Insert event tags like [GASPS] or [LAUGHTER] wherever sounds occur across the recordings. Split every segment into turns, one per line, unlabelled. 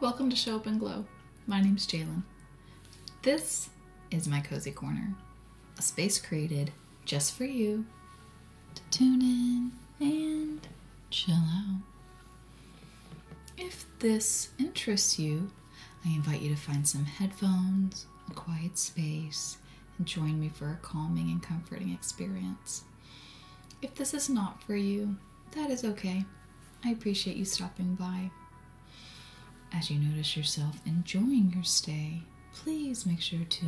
Welcome to Show Up and Glow. My name is Jalen. This is my cozy corner, a space created just for you to tune in and chill out. If this interests you, I invite you to find some headphones, a quiet space, and join me for a calming and comforting experience. If this is not for you, that is okay. I appreciate you stopping by. As you notice yourself enjoying your stay, please make sure to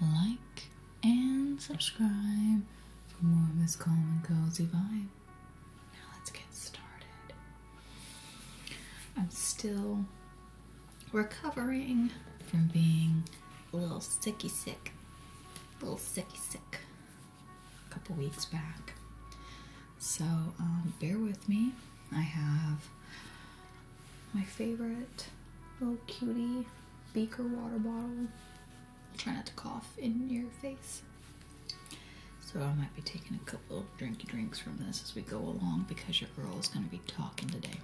like and subscribe for more of this calm and cozy vibe. Now let's get started. I'm still recovering from being a little sicky sick, a little sicky sick a couple weeks back. So um, bear with me. I have my favorite little cutie beaker water bottle. Try not to cough in your face. So I might be taking a couple of drinky drinks from this as we go along because your girl is going to be talking today.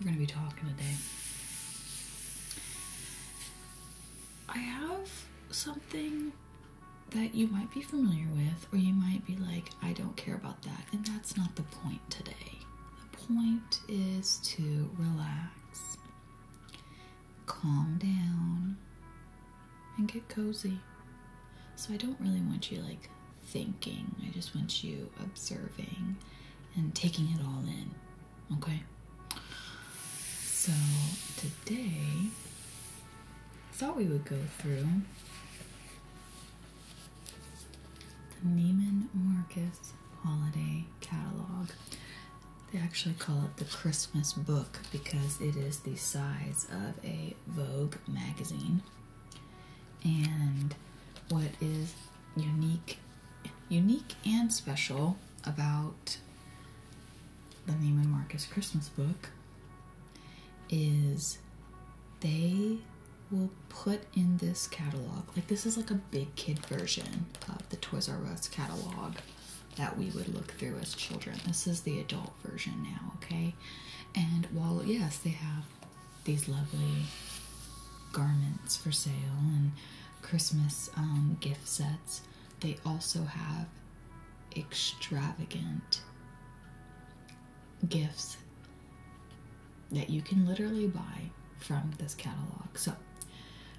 We're going to be talking today. I have something that you might be familiar with, or you might be like, I don't care about that. And that's not the point today. The point is to relax calm down and get cozy. So I don't really want you like thinking. I just want you observing and taking it all in. Okay? So today I thought we would go through the Neiman Marcus holiday catalog. They actually call it the Christmas book because it is the size of a Vogue magazine. And what is unique unique and special about the Neiman Marcus Christmas book is they will put in this catalog, like this is like a big kid version of the Toys R Us catalog that we would look through as children. This is the adult version now, okay? And while, yes, they have these lovely garments for sale and Christmas um, gift sets, they also have extravagant gifts that you can literally buy from this catalog. So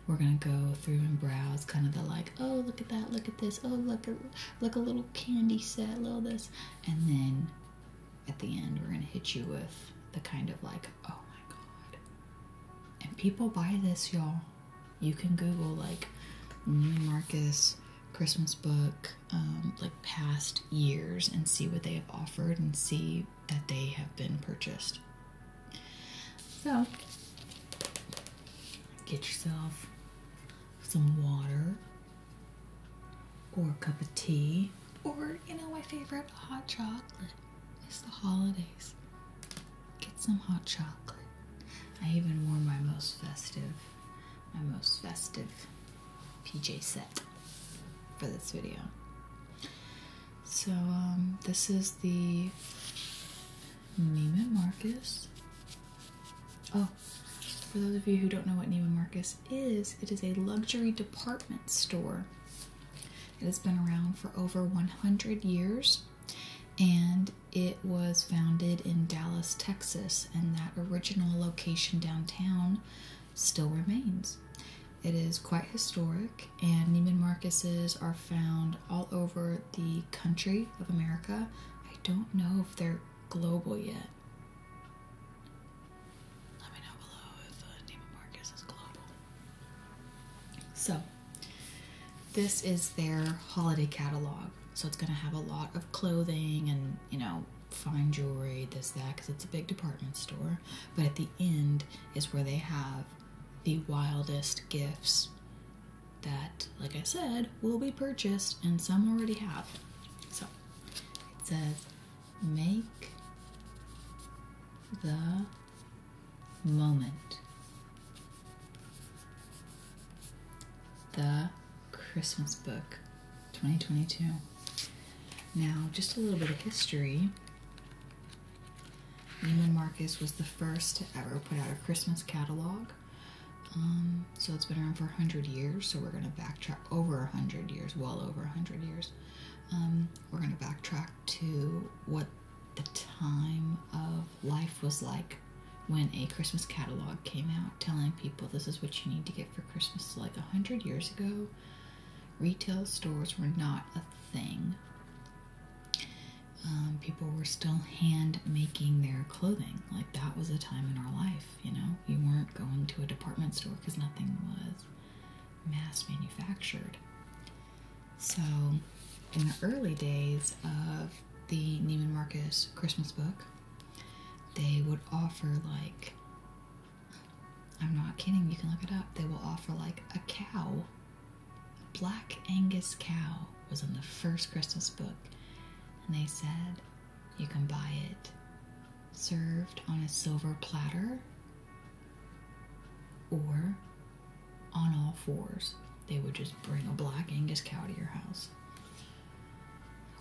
we're gonna go through and browse kind of the like, oh look at that, look at this, oh look look a little candy set, little this, and then at the end we're gonna hit you with the kind of like, oh my god. And people buy this, y'all. You can Google like New Marcus Christmas book, um, like past years, and see what they have offered and see that they have been purchased. So, get yourself some water or a cup of tea, or you know, my favorite hot chocolate. It's the holidays. Get some hot chocolate. I even wore my most festive, my most festive PJ set for this video. So um, this is the Neiman Marcus. Oh, for those of you who don't know what Neiman Marcus is, it is a luxury department store. It has been around for over 100 years and it was founded in Dallas, Texas, and that original location downtown still remains. It is quite historic, and Neiman Marcus's are found all over the country of America. I don't know if they're global yet. Let me know below if uh, Neiman Marcus is global. So, this is their holiday catalog. So, it's going to have a lot of clothing and, you know, fine jewelry, this, that, because it's a big department store. But at the end is where they have the wildest gifts that, like I said, will be purchased and some already have. So it says, make the moment the Christmas book 2022. Now, just a little bit of history. Neiman Marcus was the first to ever put out a Christmas catalog. Um, so it's been around for 100 years, so we're going to backtrack over 100 years, well over 100 years. Um, we're going to backtrack to what the time of life was like when a Christmas catalog came out telling people this is what you need to get for Christmas. So like 100 years ago, retail stores were not a thing. Um, people were still hand making their clothing. Like that was a time in our life, you know? You weren't going to a department store because nothing was mass manufactured. So, in the early days of the Neiman Marcus Christmas book, they would offer like, I'm not kidding, you can look it up, they will offer like a cow a black Angus cow was in the first Christmas book, and they said you can buy it served on a silver platter or on all fours. They would just bring a black Angus cow to your house.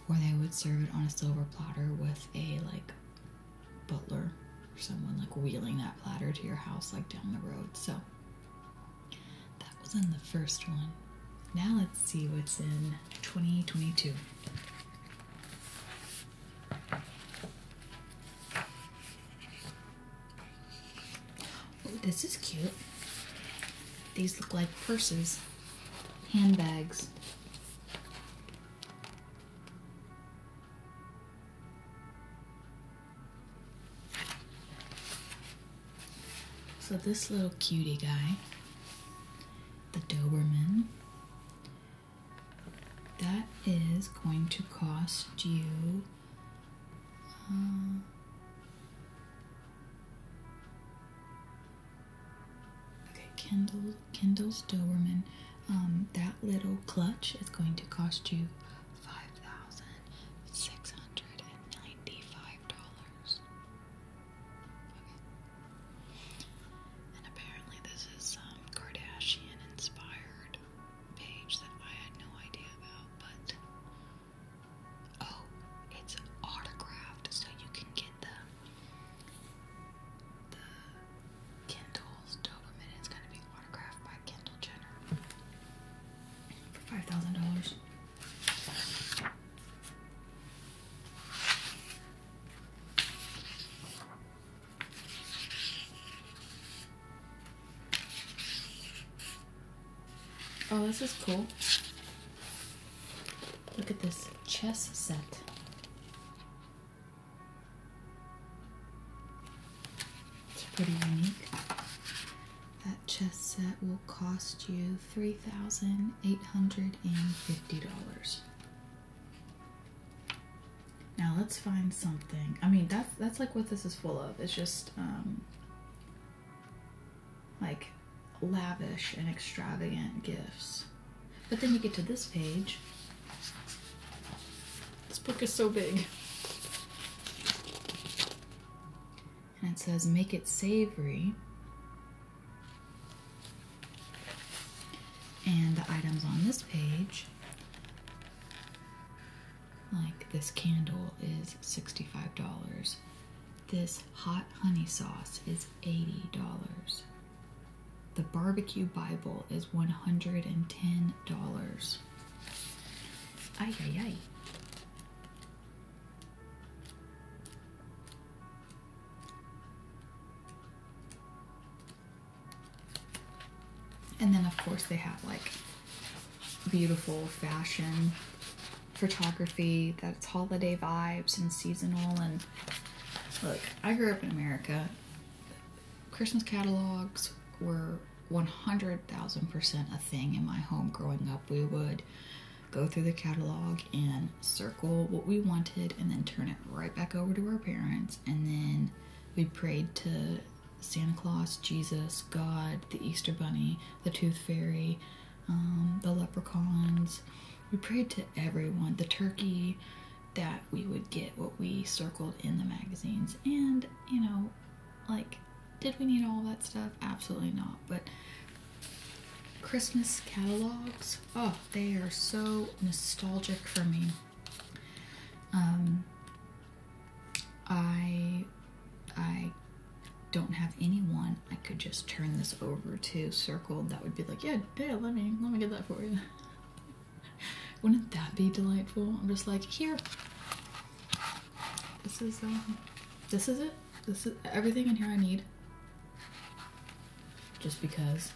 Or they would serve it on a silver platter with a like butler or someone like wheeling that platter to your house like down the road. So that was in the first one. Now let's see what's in 2022. Oh, this is cute. These look like purses, handbags. So this little cutie guy, the Doberman, that is going to cost you uh, okay Kendall's Doberman um, that little clutch is going to cost you Five thousand six hundred and ninety-five dollars. Okay. And apparently this is some Kardashian inspired page that I had no idea about, but oh, it's autographed, so you can get the the Kindles Doberman. It's gonna being by Kendall Jenner for five thousand dollars. Oh, this is cool. Look at this chess set. It's pretty unique. That chess set will cost you $3,850. Now let's find something. I mean, that's that's like what this is full of. It's just um, like lavish and extravagant gifts. But then you get to this page this book is so big. And it says, make it savory. And the items on this page, like this candle is $65. This hot honey sauce is $80. The barbecue Bible is $110 those. Ay, ay, ay. And then, of course, they have like beautiful fashion photography that's holiday vibes and seasonal. And look, I grew up in America. Christmas catalogs were 100,000% a thing in my home growing up. We would go through the catalog and circle what we wanted and then turn it right back over to our parents. And then we prayed to Santa Claus, Jesus, God, the Easter Bunny, the Tooth Fairy, um, the leprechauns. We prayed to everyone, the turkey, that we would get what we circled in the magazines. And, you know, like, did we need all that stuff? Absolutely not. But Christmas catalogs, oh, they are so nostalgic for me. Um, I, I don't have anyone I could just turn this over to circled that would be like, yeah, yeah, let me, let me get that for you. Wouldn't that be delightful? I'm just like, here. This is um, this is it. This is everything in here I need. Just because.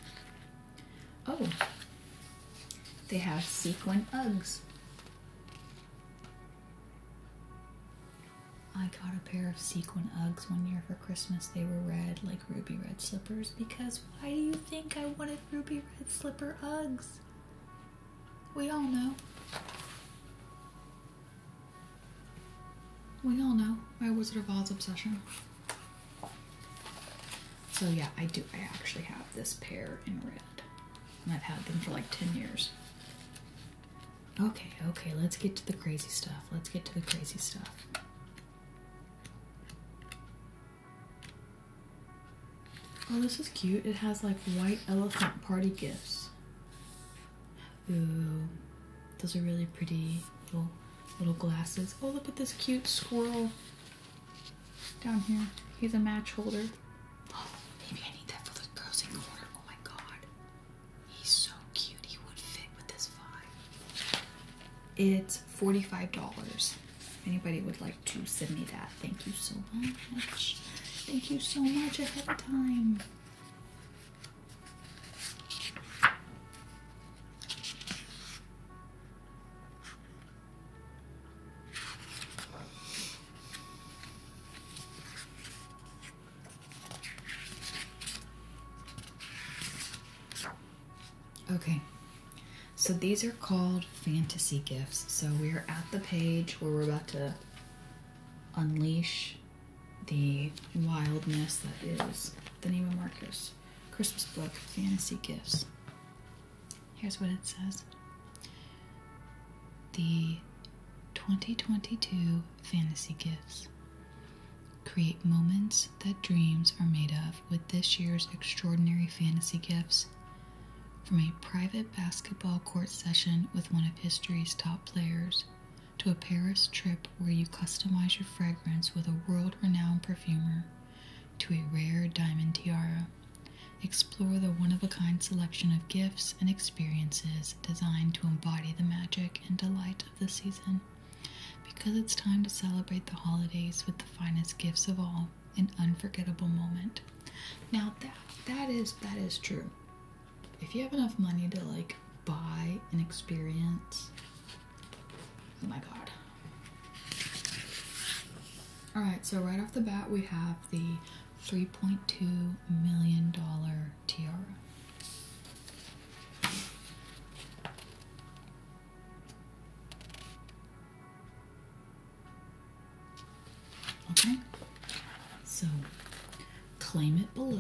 Oh. They have sequin Uggs. I got a pair of sequin Uggs one year for Christmas. They were red, like ruby red slippers, because why do you think I wanted ruby red slipper Uggs? We all know. We all know my Wizard of Oz obsession. So yeah, I do. I actually have this pair in red, and I've had them for like ten years. Okay, okay, let's get to the crazy stuff. Let's get to the crazy stuff. Oh, this is cute. It has like white elephant party gifts. Ooh, those are really pretty little little glasses. Oh, look at this cute squirrel down here. He's a match holder. Oh, [GASPS] maybe I need that for the girls corner. Oh my god, he's so cute. He would fit with this vibe. It's $45. Anybody would like to send me that? Thank you so much. Thank you so much ahead of time. Okay, so these are called fantasy gifts. So we are at the page where we're about to unleash the wildness that is the Nemo Marcus Christmas book, Fantasy Gifts. Here's what it says The 2022 Fantasy Gifts. Create moments that dreams are made of with this year's extraordinary fantasy gifts from a private basketball court session with one of history's top players to a Paris trip where you customize your fragrance with a world renowned perfumer to a rare diamond tiara, explore the one of a kind selection of gifts and experiences designed to embody the magic and delight of the season. Because it's time to celebrate the holidays with the finest gifts of all, memorable unforgettable moment. Now that that is that is true. If you have enough money to like buy an experience, oh my god. Alright, so right off the bat we have the $3.2 million tiara. Okay? So claim it below,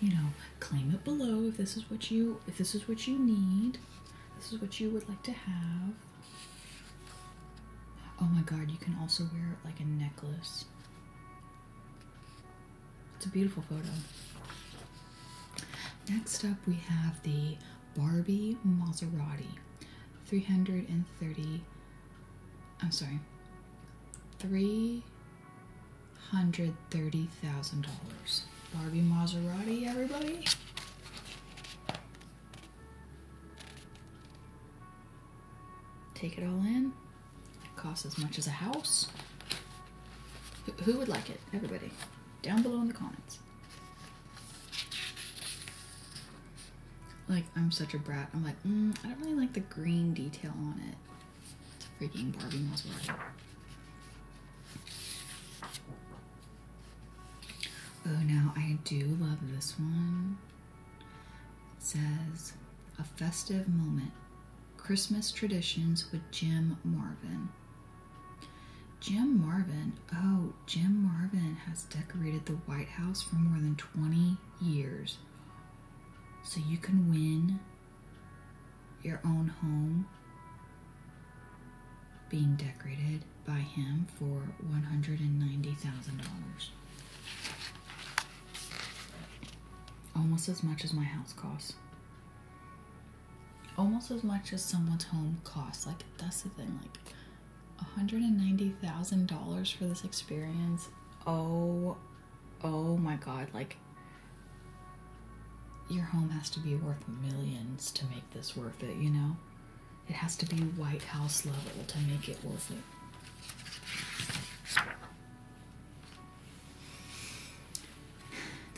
you know, claim it below if this is what you if this is what you need. This is what you would like to have. Oh my god, you can also wear it like a necklace. It's a beautiful photo. Next up, we have the Barbie Maserati. 330 I'm sorry. Three hundred thirty thousand dollars. Barbie Maserati, everybody. Take it all in. It costs as much as a house. Who would like it? Everybody. Down below in the comments. Like, I'm such a brat. I'm like, mm, I don't really like the green detail on it. It's a freaking Barbie Maserati. Oh, now I do love this one. says, A Festive Moment Christmas Traditions with Jim Marvin. Jim Marvin, oh, Jim Marvin has decorated the White House for more than 20 years. So you can win your own home being decorated by him for $190,000. Almost as much as my house costs almost as much as someone's home costs. Like that's the thing, like $190,000 for this experience. Oh, oh my god, like your home has to be worth millions to make this worth it, you know? It has to be White House level to make it worth it.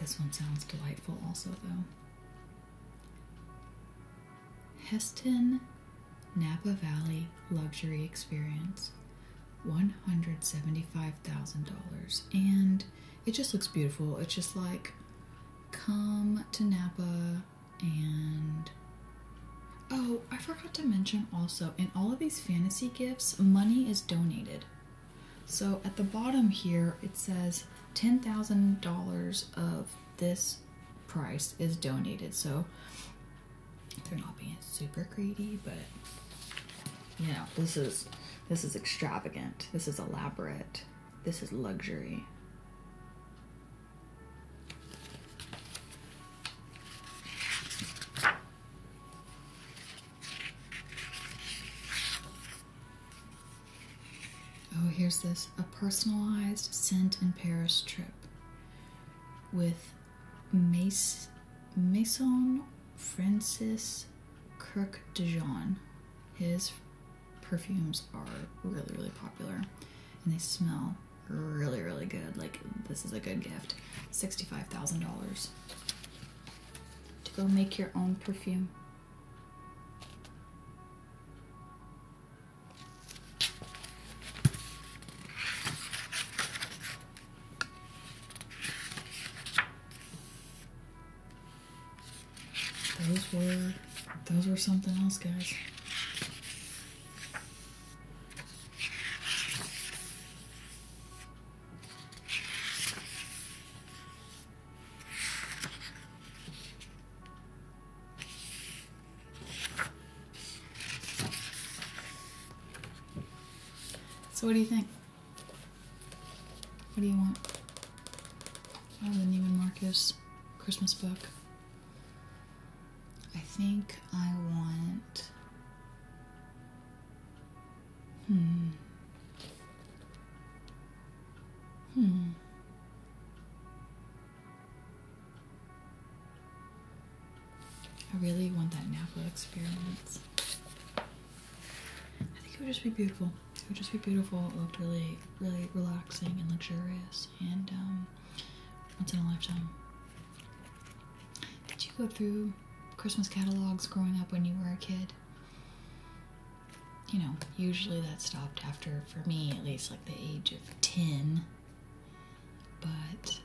This one sounds delightful, also, though. Heston Napa Valley Luxury Experience $175,000. And it just looks beautiful. It's just like come to Napa and oh, I forgot to mention also in all of these fantasy gifts, money is donated. So at the bottom here, it says $10,000 of this price is donated. So they're not being super greedy, but you know, this is this is extravagant. This is elaborate. This is luxury. Oh, here's this a personalized scent in Paris trip with Mace, Maison Francis Kirk Dijon. His perfumes are really, really popular and they smell really, really good. Like, this is a good gift. $65,000 to go make your own perfume. Those were those were something else, guys. So what do you think? What do you want? Oh, the Neiman Marcus Christmas book. I think I want Hmm. Hmm. I really want that Napa experience. I think it would just be beautiful. It would just be beautiful. It looked really, really relaxing and luxurious and um, once in a lifetime. Did you go through Christmas catalogs growing up when you were a kid? you know, usually that stopped after, for me at least, like the age of 10. But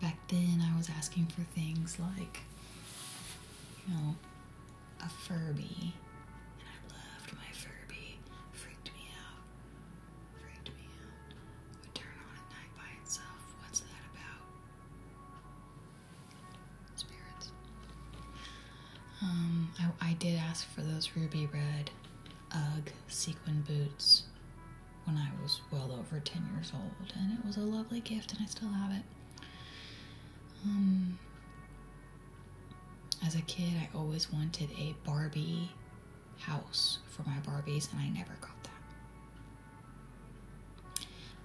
back then I was asking for things like, you know, a Furby. And I loved my Furby. Freaked me out. Freaked me out. Would turn on at night by itself. What's that about? spirits. Um, I, did ask for those ruby red UGG sequin boots when I was well over 10 years old, and it was a lovely gift, and I still have it. Um, as a kid, I always wanted a Barbie house for my Barbies, and I never got that.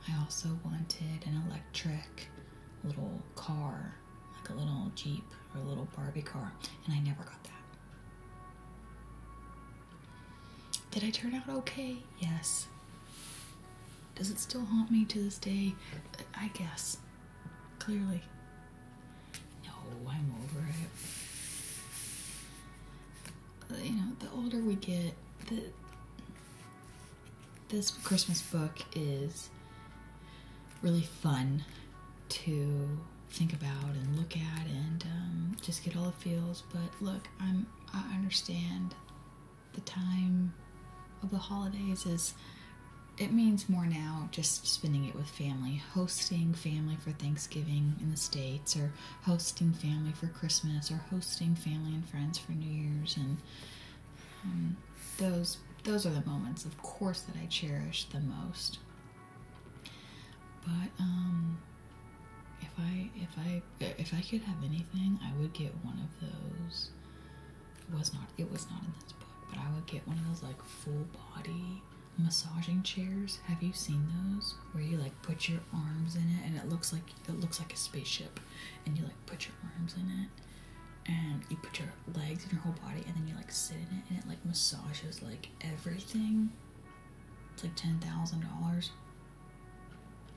I also wanted an electric little car, like a little Jeep or a little Barbie car, and I never got that. Did I turn out okay? Yes. Does it still haunt me to this day? I guess. Clearly. No, I'm over it. You know, the older we get, the this Christmas book is really fun to think about and look at and um, just get all the feels. But look, I'm I understand the time of the holidays is it means more now just spending it with family, hosting family for Thanksgiving in the States, or hosting family for Christmas, or hosting family and friends for New Year's, and um, those those are the moments, of course, that I cherish the most. But um, if I if I if I could have anything, I would get one of those. It was not it was not in this book, but I would get one of those like full body massaging chairs. Have you seen those where you like put your arms in it and it looks like it looks like a spaceship, and you like put your arms in it and you put your legs and your whole body and then you like sit in it and it like massages like everything. It's like ten thousand dollars.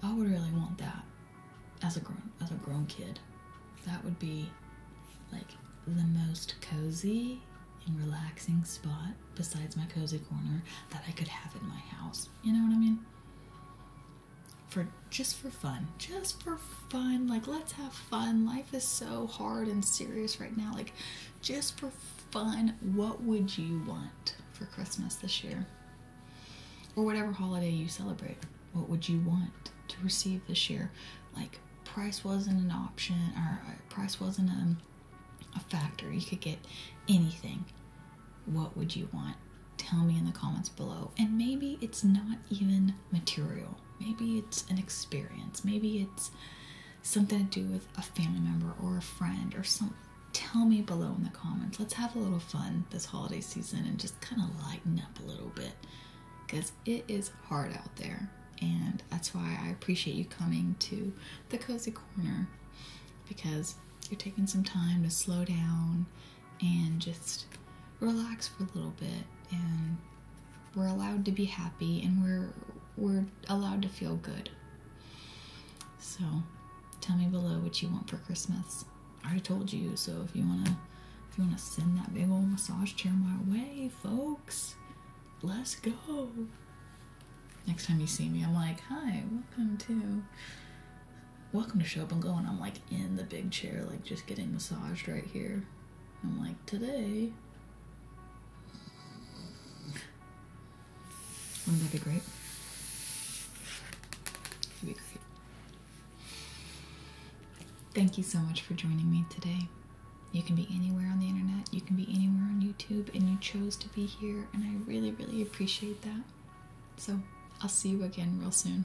I would really want that as a grown as a grown kid. That would be like the most cozy and relaxing spot besides my cozy corner that I could have in my house. You know what I mean? for just for fun, just for fun. Like, let's have fun. Life is so hard and serious right now. Like, just for fun, what would you want for Christmas this year? Or whatever holiday you celebrate, what would you want to receive this year? Like, price wasn't an option, or uh, price wasn't a, a factor. You could get anything what would you want? Tell me in the comments below. And maybe it's not even material. Maybe it's an experience. Maybe it's something to do with a family member or a friend or something. Tell me below in the comments. Let's have a little fun this holiday season and just kind of lighten up a little bit because it is hard out there. And that's why I appreciate you coming to the Cozy Corner because you're taking some time to slow down and just relax for a little bit and we're allowed to be happy and we're we're allowed to feel good. So tell me below what you want for Christmas. I already told you, so if you wanna if you wanna send that big old massage chair my way, folks, let's go. Next time you see me, I'm like, hi, welcome to welcome to show up and go. And I'm like in the big chair, like just getting massaged right here. I'm like, today, wouldn't that be great? That'd be great. Thank you so much for joining me today. You can be anywhere on the internet, you can be anywhere on YouTube, and you chose to be here, and I really, really appreciate that. So I'll see you again real soon.